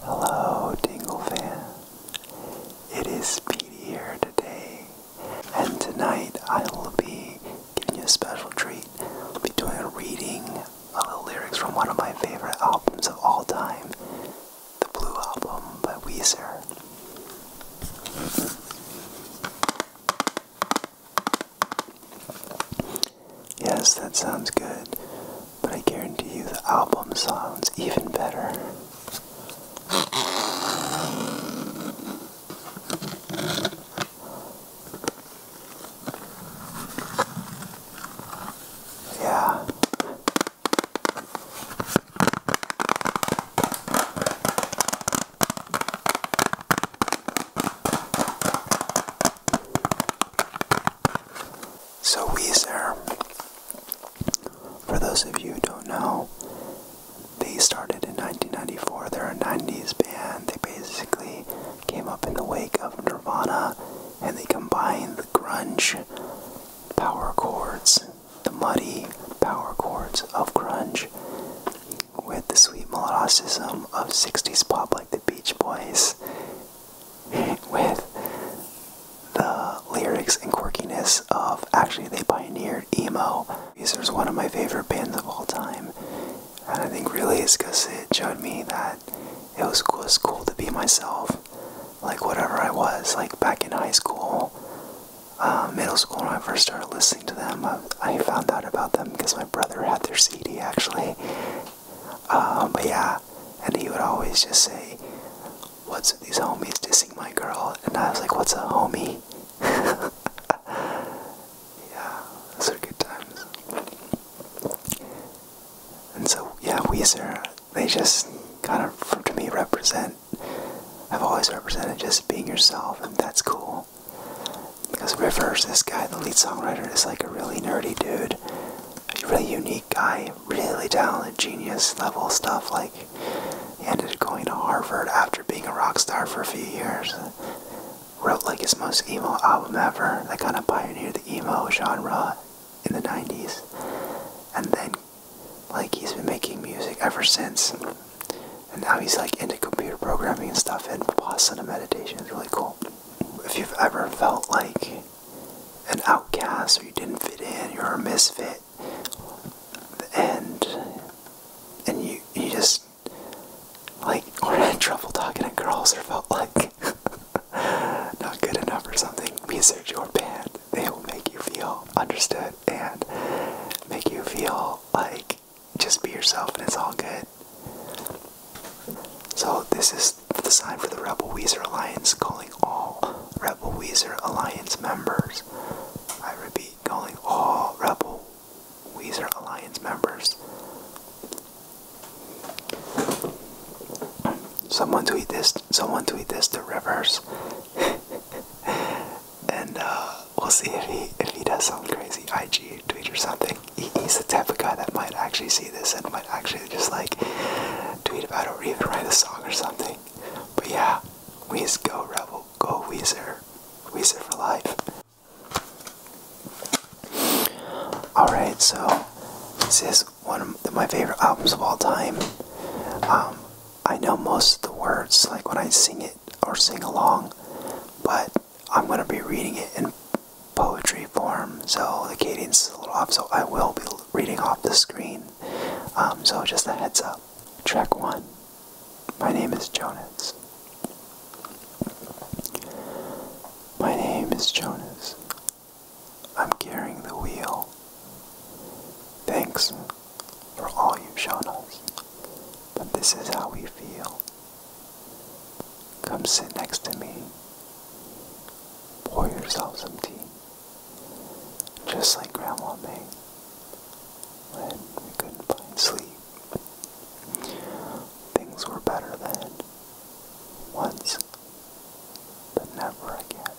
Hello, Dingle fan. It is Speedy here today, and tonight I will be giving you a special treat. I'll be doing a reading of the lyrics from one of my favorite albums of all time, the Blue Album by Weezer. Yes, that sounds good, but I guarantee you the album sounds even better. Yeah. So Weezer, for those of you who don't know, they started in 1994. They're a 90s band. They basically came up in the wake of Nirvana and they combined the grunge power chords, the muddy power chords of grunge, with the sweet melodicism of 60s pop like the Beach Boys with the lyrics and quirkiness of actually they pioneered emo. These are one of my favorite bands of all time. And I think really it's because it showed me that it was cool, to be myself. Like whatever I was, like back in high school, uh, middle school, when I first started listening to them, I found out about them because my brother had their CD actually, um, but yeah, and he would always just say, What's these homies dissing my girl? And I was like, What's a homie? yeah, those are good times. And so, yeah, Weezer, they just kind of, to me, represent, I've always represented just being yourself, and that's cool. Because Rivers, this guy, the lead songwriter, is like a really nerdy dude, a really unique guy, really talented, genius level stuff. Like, he ended up going to Harvard after being a rock star for a few years. Wrote like his most emo album ever that kind of pioneered the emo genre in the 90s. And then, like, he's been making music ever since. And now he's like into computer programming and stuff and Vipassana meditation. It's really cool if you've ever felt like an outcast or you didn't fit in, you're a misfit, and and you you just like or had trouble talking to girls or felt like not good enough or something, research your band. They will make you feel understood and make you feel like just be yourself and it's all good. So this is the sign for the Rebel Weezer Alliance calling all Rebel Weezer Alliance members. I repeat, calling all Rebel Weezer Alliance members. Someone tweet this. Someone tweet this to Rivers, and uh, we'll see if he if he does something crazy, IG tweet or something he's the type of guy that might actually see this and might actually just like tweet about it or even write a song or something. But yeah, Wheeze, go Rebel, go Weezer, Weezer for life. Alright, so this is one of my favorite albums of all time. Um, I know most of the words, like when I sing it or sing along, but I'm going to be reading it in poetry form, so the cadence is a little off, so I will be reading off the screen. Um, so just a heads up. Track one. My name is Jonas. My name is Jonas. I'm carrying the wheel. Thanks for all you've shown us, but this is how we feel. Come sit next to me. Pour yourself some tea. Just like Grandma made when we couldn't find sleep. Things were better then. Once, but never again.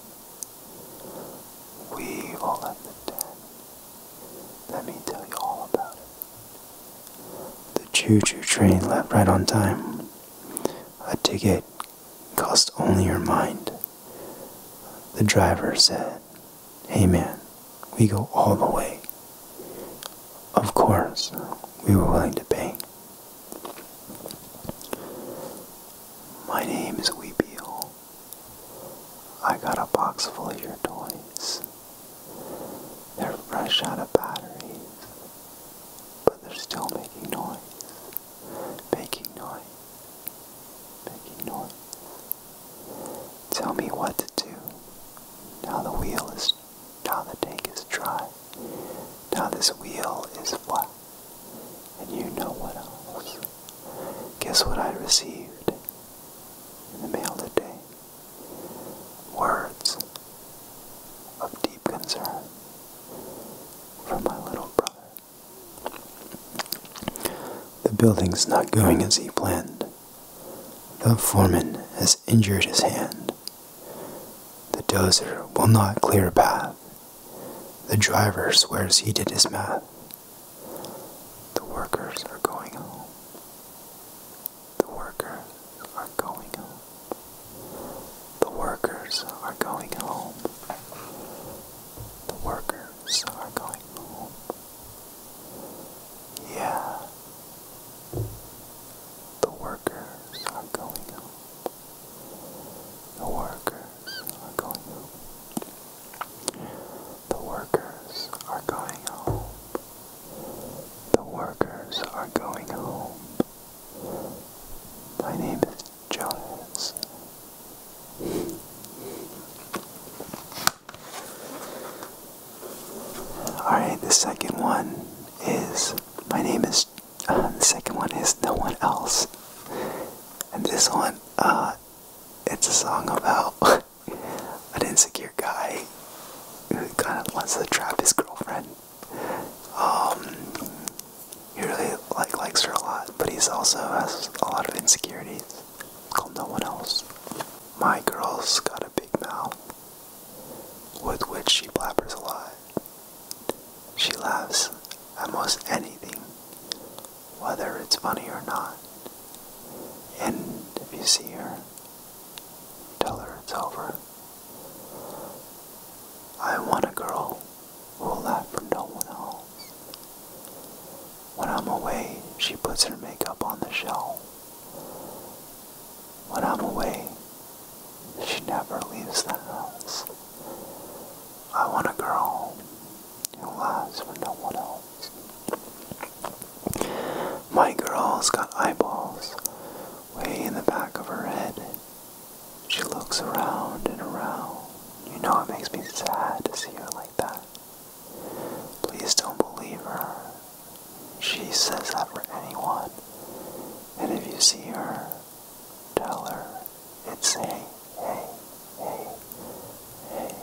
We all at the den. Let me tell you all about it. The choo choo train left right on time. A ticket cost only your mind. The driver said, Hey man, we go all the way. Of course, we were willing to pay. My name is Weepy I got a box full of your toys. They're fresh out of batteries, but they're still making noise. Making noise. Making noise. Tell me what to do. Now the wheel is, now the tank is dry. Now this wheel is flat. And you know what else. Guess what I received in the mail today? words of deep concern for my little brother. The building's not going as he planned. The foreman has injured his hand. The dozer will not clear a path. The driver swears he did his math. The workers are going home. The workers are going home. The workers are going home. The workers are going home. Yeah. The workers are going home. The workers are going home. The workers are going home. The workers are going home. My name is Jones. Alright, the second one is my name is uh, the second one is no one else. And this one, uh it's a song about an insecure guy who kinda wants to trap his girlfriend. Um, he really like likes her a lot, but he's also has a lot of insecurities. It's No One Else. My girl's got a big mouth, with which she blabbers a lot. She laughs at most anything, whether it's funny or not. And if you see her, tell her it's over. I want a girl who will laugh for no one else. When I'm away, she puts her makeup on the shelf. When I'm away, she never leaves the house. I want a girl who laughs for no one else. My girl's got eyeballs way in the back of her head. She looks around and around. You know it makes me sad to see her like that. Please don't believe her. She says that for anyone. And if you see her, tell her it's hey, hey, hey, hey.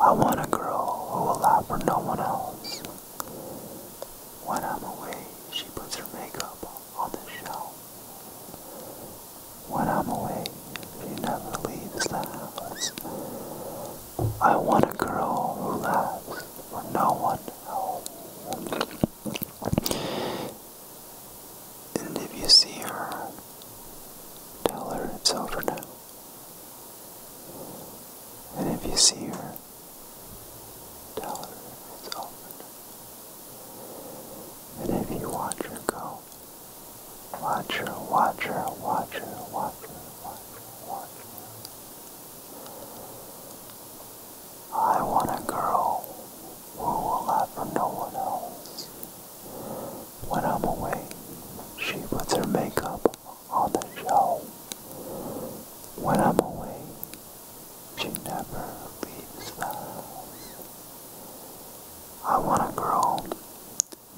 I want a girl who will laugh for no one else. When I'm away, she puts her makeup on the shelf. When I'm away, she never leaves the house. I want a girl who laughs for no one else. And if you see her, tell her it's over now. And if you see her, Tell her it's open. And if you watch her go, watch her, watch her, watch her, watch her, watch I want a girl who will love for no one else. When I'm away, she puts her makeup on the show. When I'm away, she never leaves the I want a girl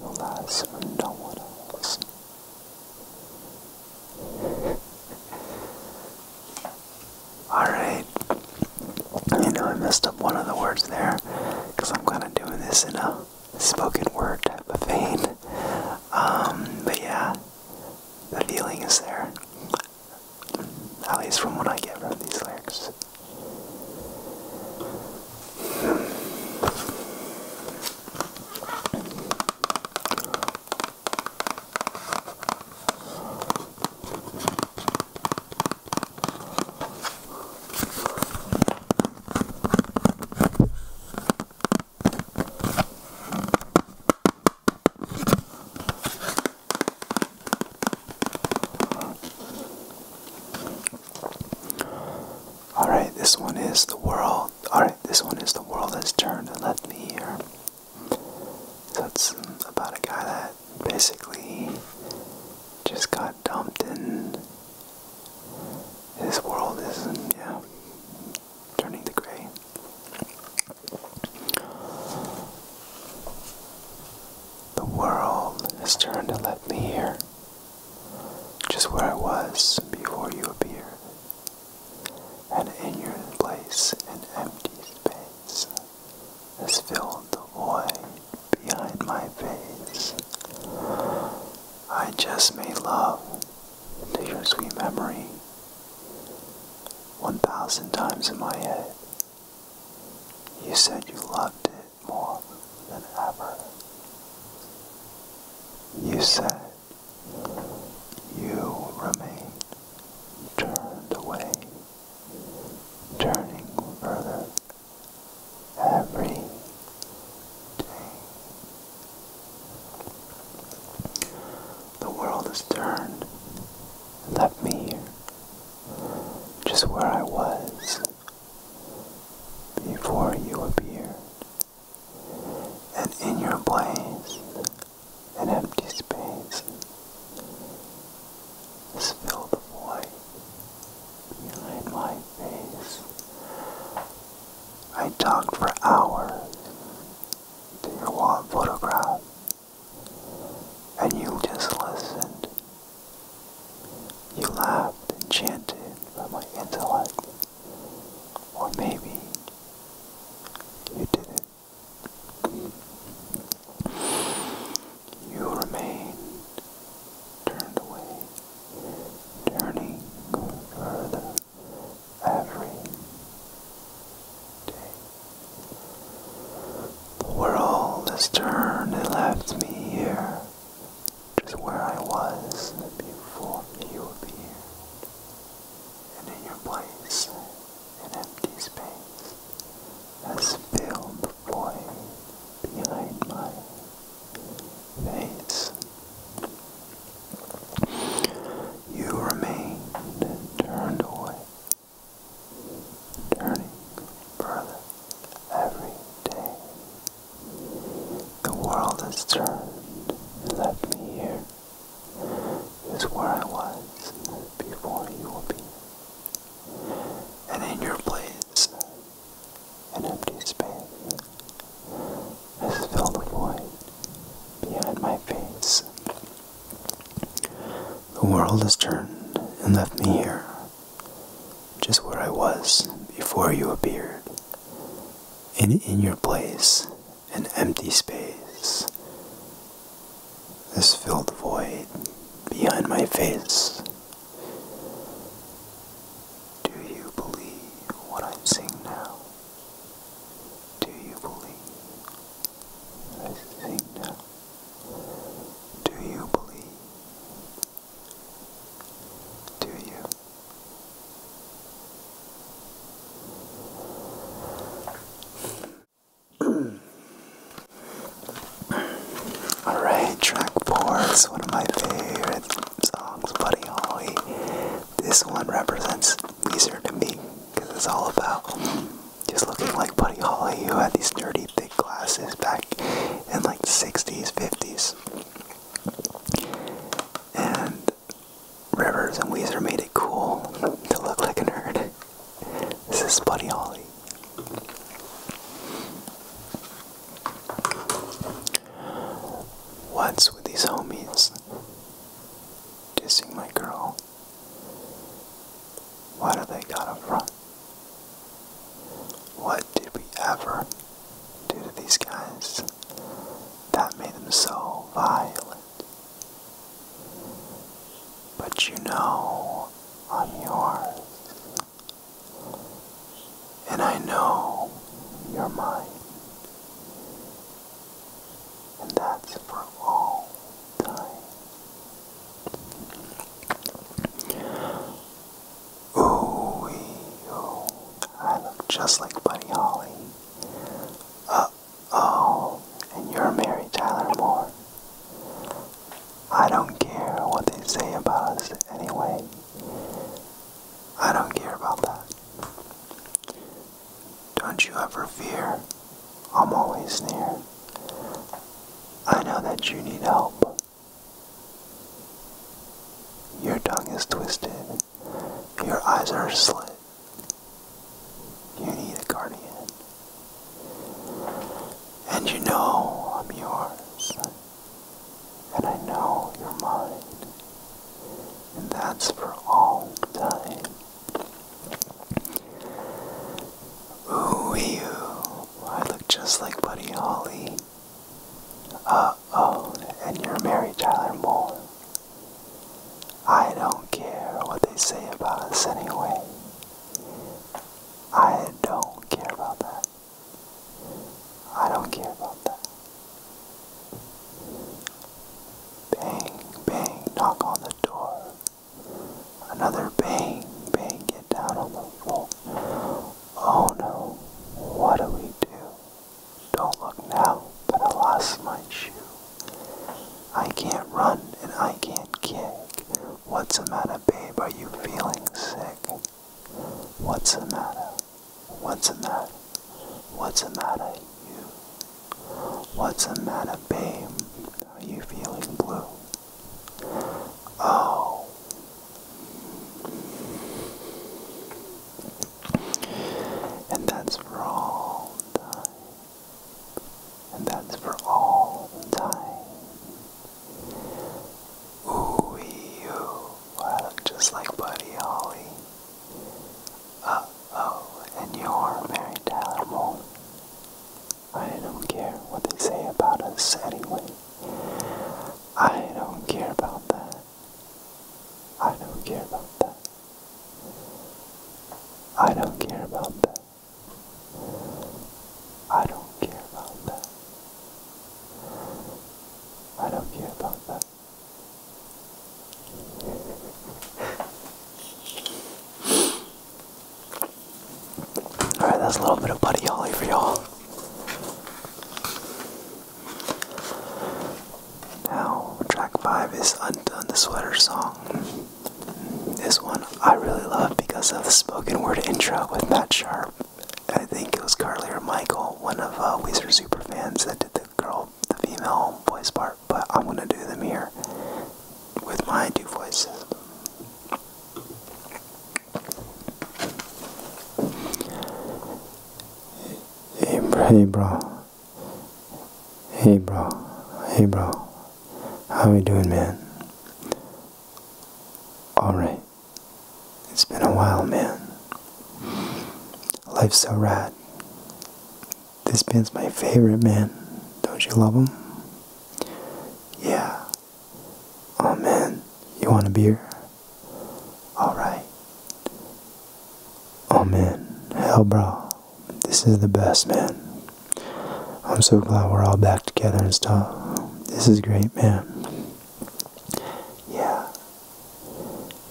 who lasts for no one else. Alright. You know I messed up one of the words there because I'm kind of doing this in a spoken word type of vein. Um, but yeah, the feeling is there. At least from what I get from these lyrics. All right, this one is the world. All right, this one is the world has turned and left me here. So it's um, about a guy that basically just got dumped and his world is, yeah, turning the gray. The world has turned to let me hear just where I was before you appear, and in your place an empty space has filled the void behind my face. I just made love into your sweet memory. 1,000 times in my head, you said you loved it more than ever. You said you remained turned away, turning further every day. The world has turned and left me here, just where I was before you appeared. And in your place, an empty space has the void behind my face. I talked for hours to your wall photograph, and you just listened. You laughed enchanted by my intellect, or maybe you didn't. You remained turned away, turning further every day. The world has turned and left me here, just where I was before you appeared. And in your place, an empty space has filled the void behind my face. You remain turned away, turning further every day. The world has turned and left me here. here. Is where I was before you will be. And in your place, an empty space has filled the void behind my face. The world has turned and left me here, just where I was before you appeared. And in your place, an empty space has filled the void behind my face. Do you believe what I'm seeing now? Do you believe? I sing now. Do you believe? Do you? Alright, track four is one of my favorite songs, Buddy Holly. This one represents easier to me because it's all about just looking like Buddy Holly who had these dirty thick glasses back in like the 60s, 50s. And Rivers and Weezer made it cool to look like a nerd. This is Buddy Holly. What's with these homies? dissing my girl. Why do they got to run? What did we ever do to these guys that made them so violent? But you know I'm yours. And I know you're mine. And that's for all time. Ooh, I look just like Buddy Holly. oh, and you're Mary Tyler Moore. I don't care what they say about us anyway. I don't care about that. Don't you ever fear. I'm always near. I know that you need help. Your tongue is twisted. Your eyes are slit. You need a guardian. And you know I'm yours. And I know your mind. And that's for all time. Ooh, I look just like Buddy Holly. Uh oh, and you're Mary Tyler Moore. I don't care what they say about us anyway. I don't care about that. I don't care about that. Bang, bang, knock on the door. Another bang, bang, get down on the floor. Oh no, what do we do? Don't look now, but I lost my shoe. I can't run and I can't kick. What's the matter, babe? Are you feeling sick? What's the matter? What's the matter? What's the matter, you? What's the matter, babe? Are you feeling blue? Oh. And that's for all time. And that's for all time. Ooh, you. Wow, just like Buddy Holly. Uh oh, and you're Mary Tyler Moore. I don't care what they say about us anyway. I don't care about that. I don't care about that. I don't care about that. I don't care about that. I don't care about that. Alright, that's a little bit of Buddy Holly for y'all. Now, track 5 is Undone the Sweater Song. This one I really love because of the spoken word intro with Matt Sharp. I think it was Carly or Michael, one of uh, Weezer fans, that did girl, the female voice part, but I'm gonna do them here with my two voices. Hey, hey bro. Hey bro. Hey bro. How you doing, man? Alright. It's been a while, man. Life's so rad. This band's my favorite, man. Don't you love them? Yeah. Oh, man. You want a beer? Alright. Oh, man. Hell, bro. This is the best, man. I'm so glad we're all back together and stuff. This is great, man. Yeah.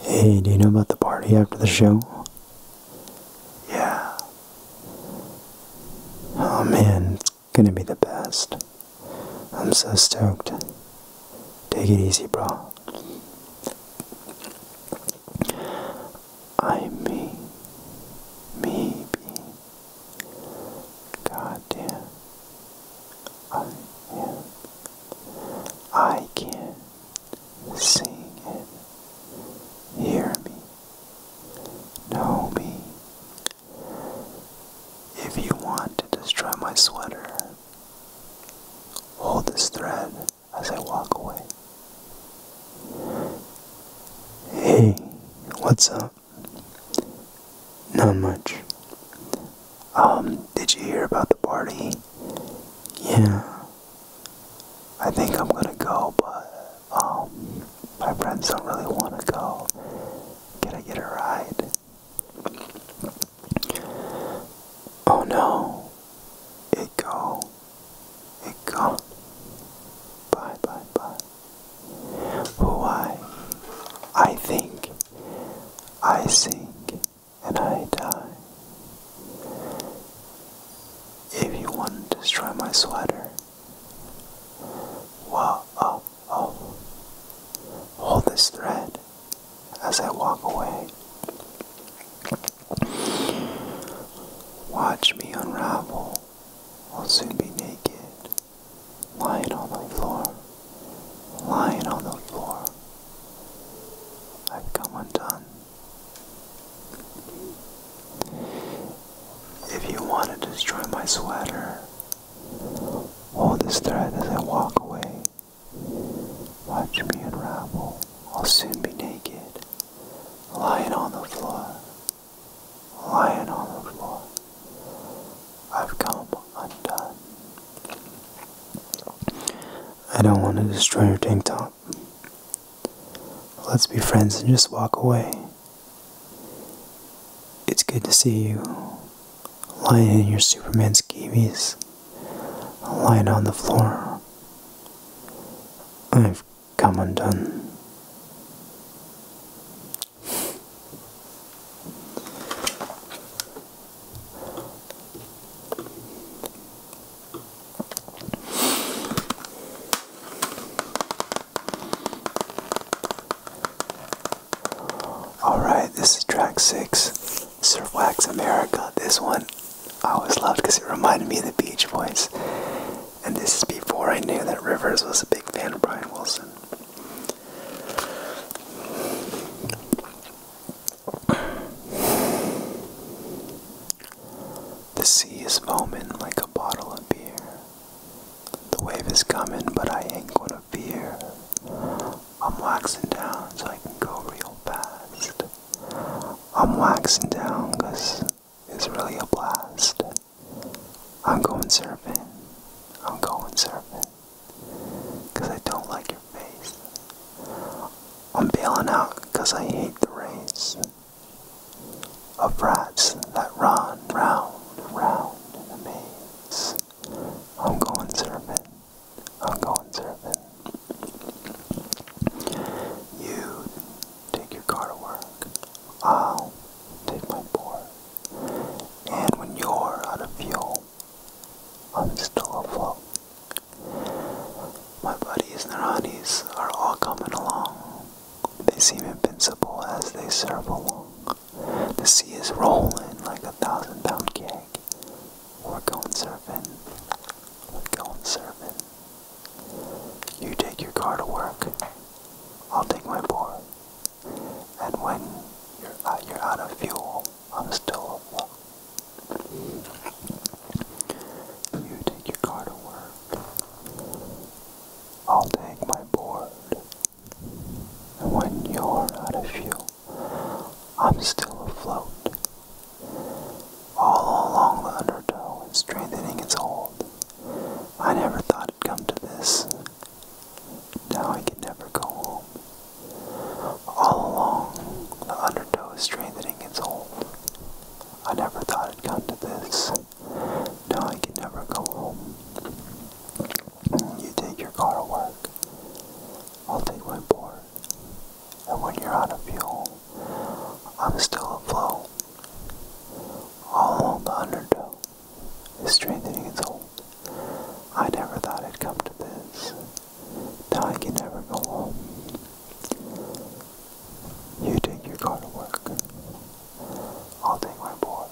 Hey, do you know about the party after the show? Yeah. Oh man, it's gonna be the best. I'm so stoked. Take it easy, bro. I may, maybe, goddamn, I am, I can Sing it, hear me, know me. If you want to destroy my sweater, hold this thread as I walk away. Hey, what's up? Not much. Um, did you hear about the party? Yeah. I think I'm gonna go, but, um, my friends don't really wanna go. Can I get a ride? Oh no. It go. It go. Bye, bye, bye. Who I? think. I think and I die. If you want to destroy my sweater, wow, oh, oh, hold this thread as I walk away. Watch me unravel. I'll soon be naked, lying on the floor, lying on the floor. I've come undone. If you want to destroy my sweater, hold this thread as I walk away. Watch me unravel. I'll soon be naked, lying on the floor, lying on the floor. I've come undone. I don't want to destroy your tank top. Let's be friends and just walk away. It's good to see you lying in your Superman skivvies, lying on the floor. I've come undone. Alright, this is track six, Surf Wax America. This one I always loved because it reminded me of the Beach Boys. And this is before I knew that Rivers was a big fan of Brian Wilson. The sea is foaming like a bottle of beer. The wave is coming, but I ain't gonna fear. I'm waxing down so I can go real fast. I'm waxing down cause it's really a blast. I'm going surfing. I'm going surfing. Cause I don't like your face. I'm bailing out because I hate the race of rats that run round and round in a maze. I'm going surfing. I'm going surfing. You take your car to work. I'll take my board. And when you're out of fuel, I'm still afloat. My buddies Naranis are all coming along. They seem invincible as they surf along. The sea is rolling like a thousand pound cake. We're going surfing. We're going surfing. You take your car to work. I'll take my board. And when you're uh, out of fuel, I'm still up. You take your car to work. I'll take my board. And when you're out of fuel, I'm still afloat. All along the undertow and strengthening its hold. I never thought it'd come to this. Now I can never go home. All along, the undertow is strengthening its hold. I never thought it'd come to this. Now I can never go home. You take your car to work. I'll take my board. And when you're out of fuel, I'm still afloat. All along the undertow is strengthening its hold. I never thought it'd come to this. Now I can never go home. You take your car to work. I'll take my board.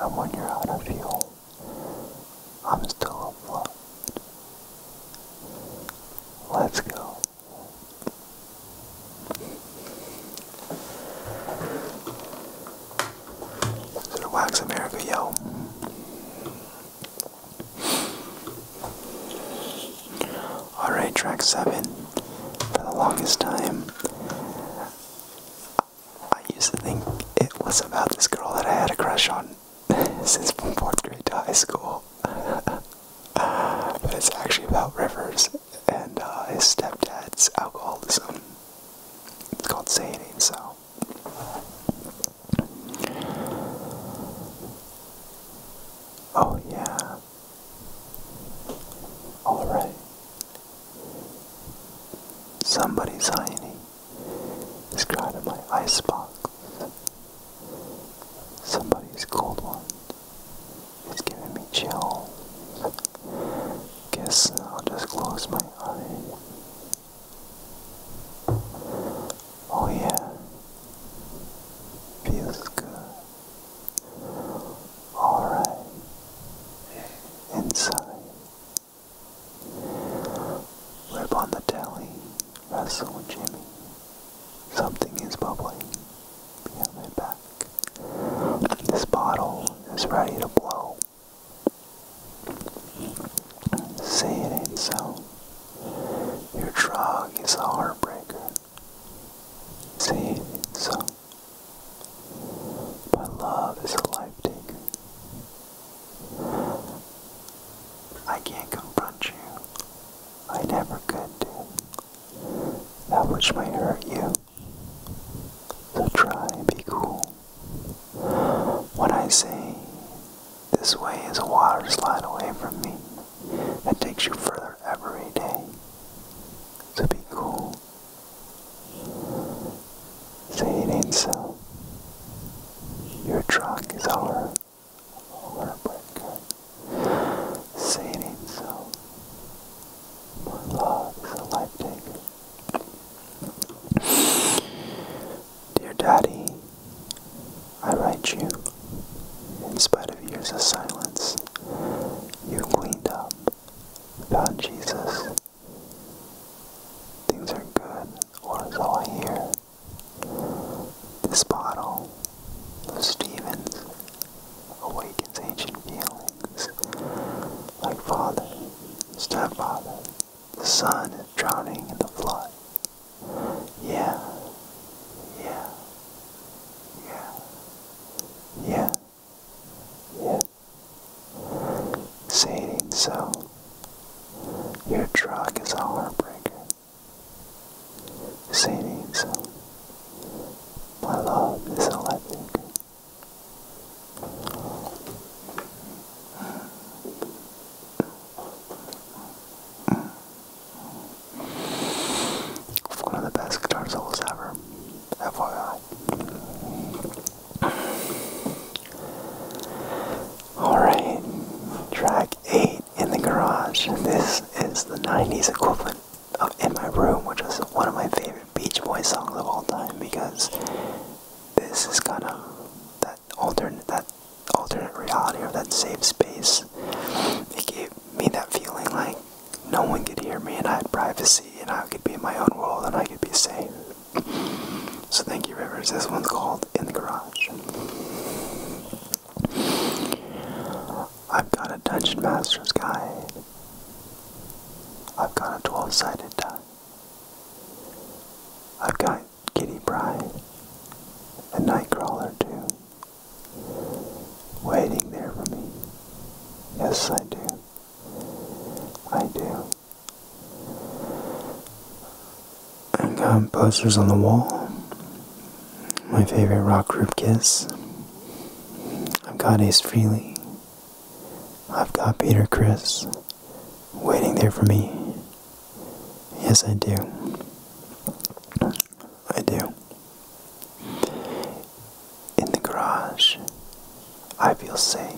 And when you're out of fuel, I'm still afloat. Let's go. So to Wax America, yo. Alright, track 7. For the longest time, I used to think it was about this girl that I had a crush on since 4th grade to high school. but it's actually about Rivers and uh, his stepdad's alcoholism. It's called Say It So. Oh, yeah. All right. Somebody's hiney is out of my icebox. Somebody's cold one is giving me chill. Guess I'll just close my eyes. Oh, yeah, feels good. All right, inside, rib on the telly, wrestle Jimmy. Something is bubbling behind my back. This bottle is ready to blow. Say it ain't so. Your drug is a heartbreaker. Say it ain't so. But love is a life taker. I can't confront you. I never could do. That which might hurt you. So try and be cool. When I say this way is a water slide away from me that takes you further every day. To be cool. Say it ain't so. Your truck is our heartbreaker. Say it ain't so. love is a life taker. Dear Daddy, I write you. In spite of years of silence, you cleaned up, found Jesus. Things are good, or so I hear. This bottle of Stevens awakens ancient feelings. Like father, stepfather, the son is drowning in the flood. Yeah. Yeah. Yeah. Yeah. Yeah. Say it ain't so. Your truck is a heartbreaker. Say it ain't so. My love is a lightbreaker. One of the best guitar solos ever. FYI. Alright, track 8 in the garage. This is the 90s equivalent In My Room, which is one of my favorite Beach Boys songs of all time because this is kind of alternate that alternate reality or that safe space. It gave me that feeling like no one could hear me and I had privacy and I could be in my own world and I could be safe. So thank you, Rivers. This one's called In the Garage. I've got a Dungeon Master's Guide. I've got a 12 sided die. I've got Kitty Pryde a Nightcrawler too, waiting there for me. Yes, I do. I do. I've got posters on the wall. My favorite rock group Kiss. I've got Ace Frehley. I've got Peter Chris waiting there for me. Yes, I do. I do. In the garage, I feel safe.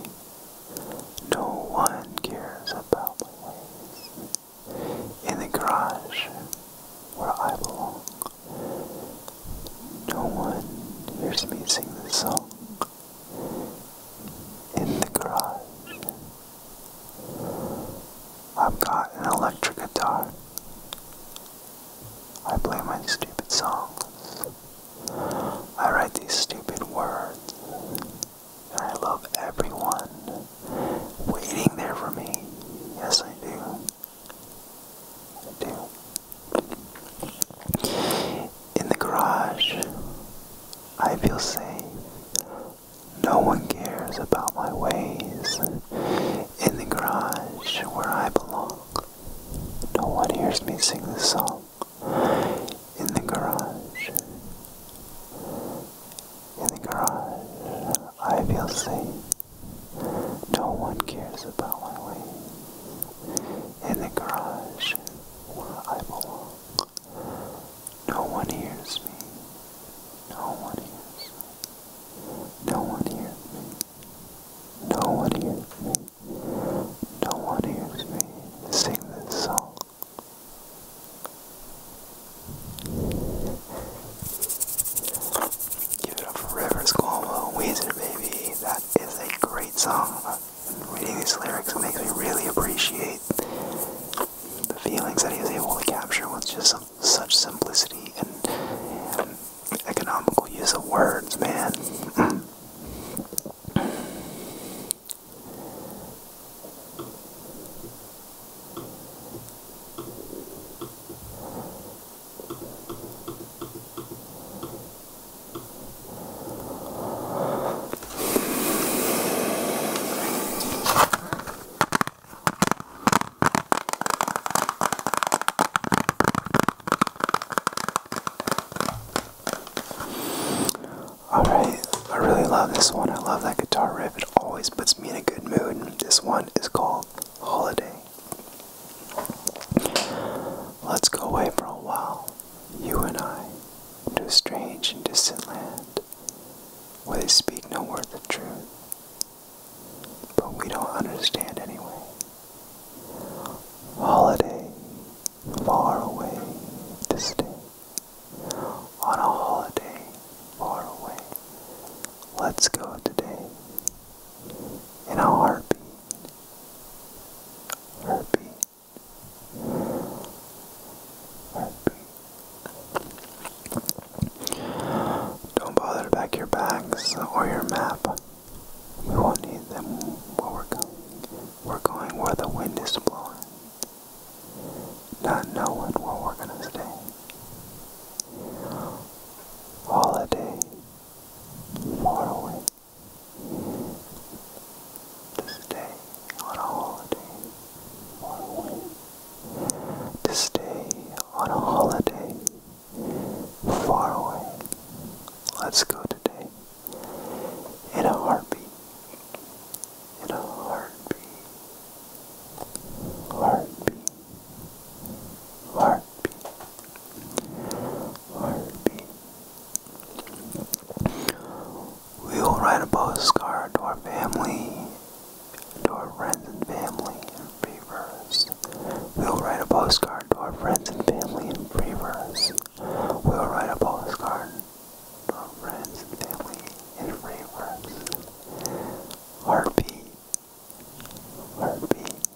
No one cares about my ways. In the garage, where I belong, no one hears me sing the song. In the garage. I've got an electric guitar. I play my stupid songs. I write these stupid words. And I love everyone waiting there for me. Yes, I do. I do. In the garage, I feel safe. No one cares about my ways in the garage where I belong. No one hears me sing the song in the garage. In the garage, I feel safe. No one cares about my ways in the garage where I belong. No one hears me. No one hears me. No one hears me. No one hears me. No one hears me sing this song. Give it up for Rivers Cuomo, Weezer Baby. That is a great song. Reading these lyrics makes me really appreciate the feelings that he was able to capture with just such simplicity and economical use of words, man. Alright, I really love this one. I love that guitar riff. It always puts me in a good mood. This one is called Holiday. Let's go away for a while, you and I, to a strange and distant land where they speak no word of truth, but we don't understand anyway. Holiday, far away this day. On a holiday, far away. Let's go today. In a heartbeat. Heartbeat. Don't bother to pack your bags or your map. We won't need them where we're going. We're going where the wind is blowing. Not knowing where we're gonna stay. Holiday far away. To stay on a holiday to stay on a holiday far away. Let's go today. In a heartbeat. In a heartbeat. Heartbeat. Heartbeat. Heartbeat. We will write a postcard to our family, to our friends and family in Freeverse. We will write a postcard to our friends and family in Freeverse. We will write a postcard to our friends and family in Freeverse. Heartbeat. Heartbeat.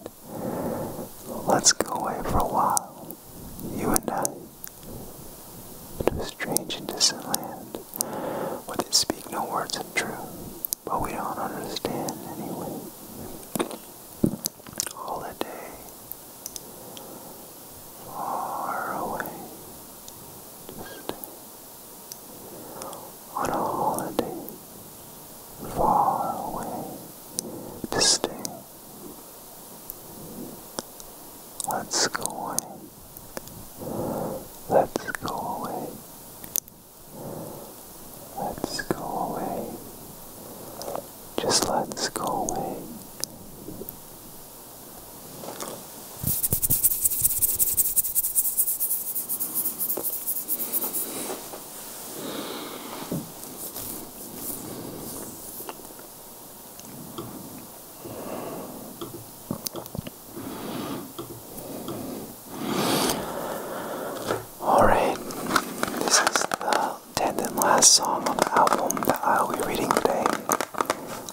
Let's go away for a while. You and I. It strange and distant land, where they speak no words of truth, but we don't understand anyway. Holiday, far away, distant. On a holiday, far away, to stay. Let's go Let's go away. Let's go away. Just let's go away. Alright, this is the 10th and last song on the album that I'll be reading today.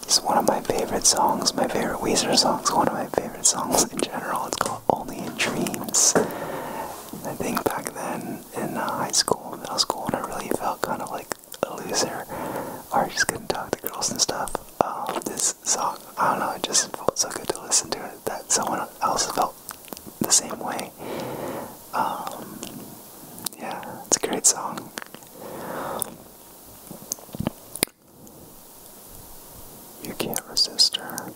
It's one of my favorite songs, my favorite Weezer songs, one of my favorite songs in general. It's called Only in Dreams. I think back then in uh, high school, middle school, and I really felt kind of like a loser or just gonna talk to girls and stuff. Um, this song, I don't know, it just felt so good to listen to it that someone else felt the same way. Um, yeah, it's a great song. You can't resist her.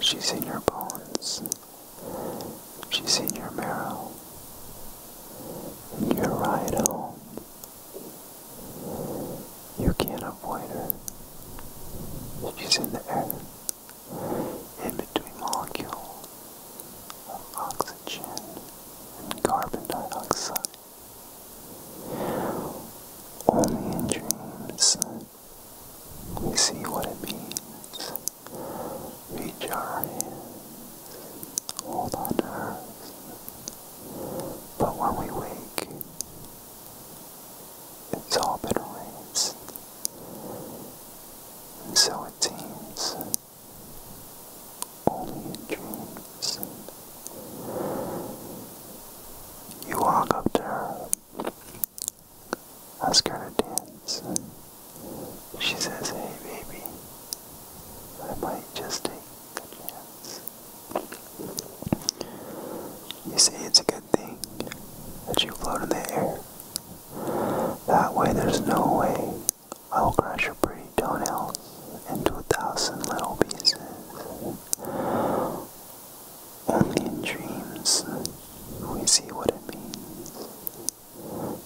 She's in your bones. She's in your marrow. You're right, home. You can't avoid her. She's in the air, in between molecules of oxygen and carbon dioxide. Only in dreams we see what it means. we our hold on to earth. But when we wake, it's all been erased. And so it seems, only in dreams. You walk up to her, ask her to dance, she says, hey baby, I might just take a chance. You see, it's a good thing that you float in the air. That way there's no way I'll crush your pretty toenails into a thousand little pieces. Only in dreams we see what it means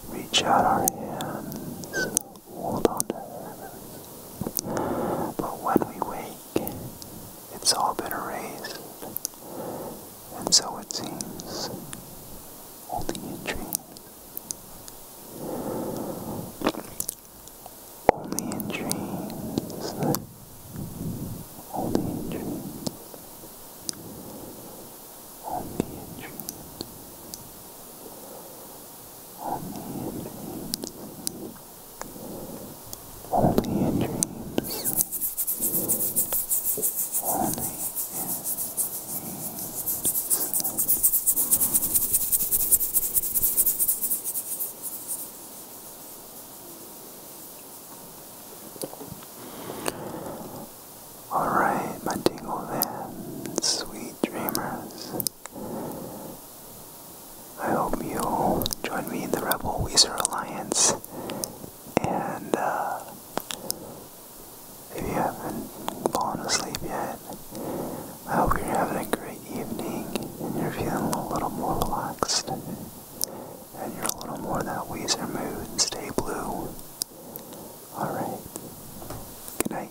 reach out our hands, hold on to heaven. But when we wake, it's all been erased, and so it seems, only in dreams. Only in dreams. Only in dreams. Only in dreams. Only in dreams. Only in dreams. Alright, my dingle fans, sweet dreamers. I hope you'll join me in the Rebel Weezer Alliance. And uh, if you haven't fallen asleep yet, I hope you're having a great evening and you're feeling a little more relaxed and you're a little more that Weezer mood. Stay blue. Alright. Good night.